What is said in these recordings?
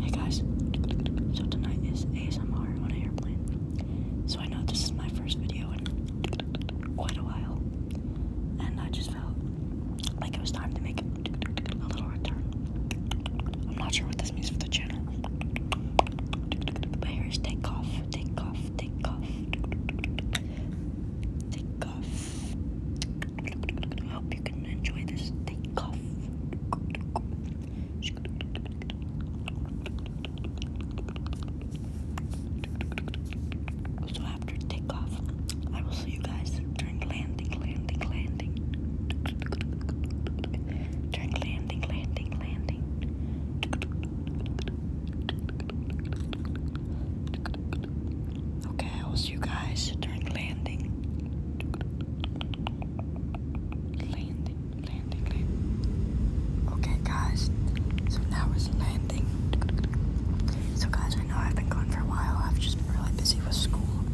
Hey guys, so tonight is ASMR on an airplane. So I know this is my first video in quite a while, and I just felt like it was time to make a little return. I'm not sure what this means for the channel, but here's take off, take off, take off, take off. I hope you can enjoy this takeoff. So after takeoff, I will see you guys during landing, landing, landing. During landing, landing, landing. Okay, I will see you guys during landing. Landing, landing, landing. Okay, guys, so now it's landing. So, guys, I know I've been gone for a while. I've just been really busy with school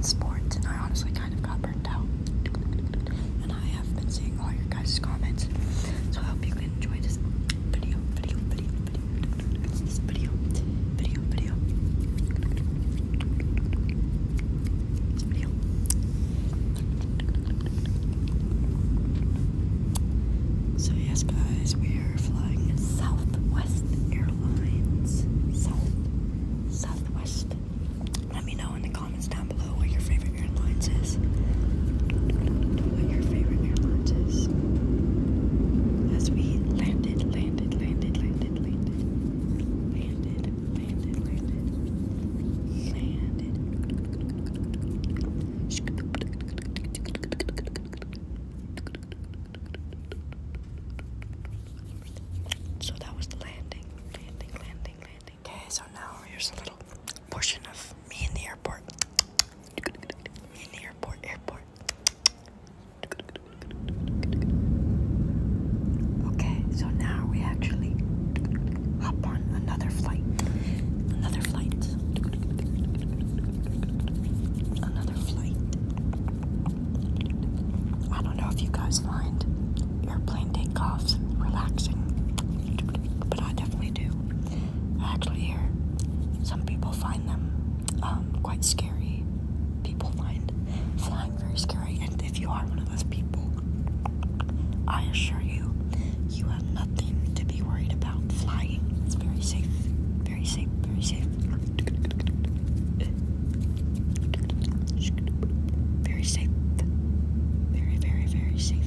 sports, and I honestly kind of got burnt out. And I have been seeing all your guys' comments. So, I hope you enjoy this video, video, video. So yes, guys, we are flying Southwest Airlines. Southwest. Let me know in the comments down below what your favorite favorite What your favorite airlines As we landed, landed, landed, landed, landed. Landed, landed, landed. Landed. So that was the landing. Landing, landing, landing. Okay, so now here's a little portion of me in the airport. in the airport, airport. Okay, so now we actually hop on another flight. Another flight. Another flight. I don't know if you guys find airplane takeoffs relaxing but I definitely do. actually hear some people find them um, quite scary. People find flying very scary, and if you are one of those people, I assure you, you have nothing to be worried about flying. It's very safe, very safe, very safe. Very safe. Very, very, very safe.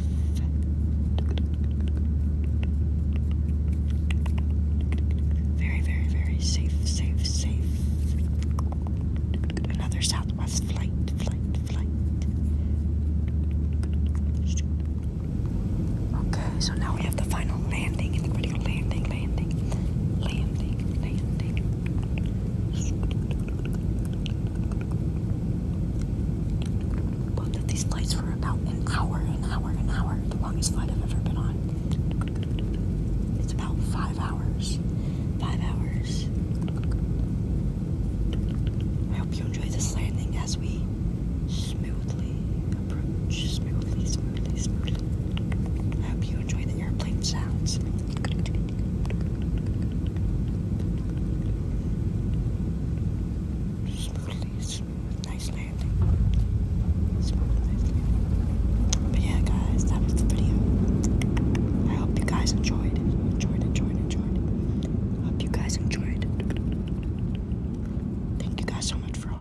Very, very, very safe, safe, safe. Another Southwest flight, flight, flight. Okay, so now we have the final landing, the critical landing, landing, landing, landing, both of these lights for about an hour, an hour, an hour. The longest flight I've ever been on. It's about five hours. Five hours. I hope you enjoy this landing as we smoothly approach. Smoothly, smoothly, smoothly. I you the airplane sounds. yeah, guys, that was the video. I hope you guys enjoyed. Enjoyed, enjoyed, enjoyed. hope you guys enjoyed. Thank you guys so much for all.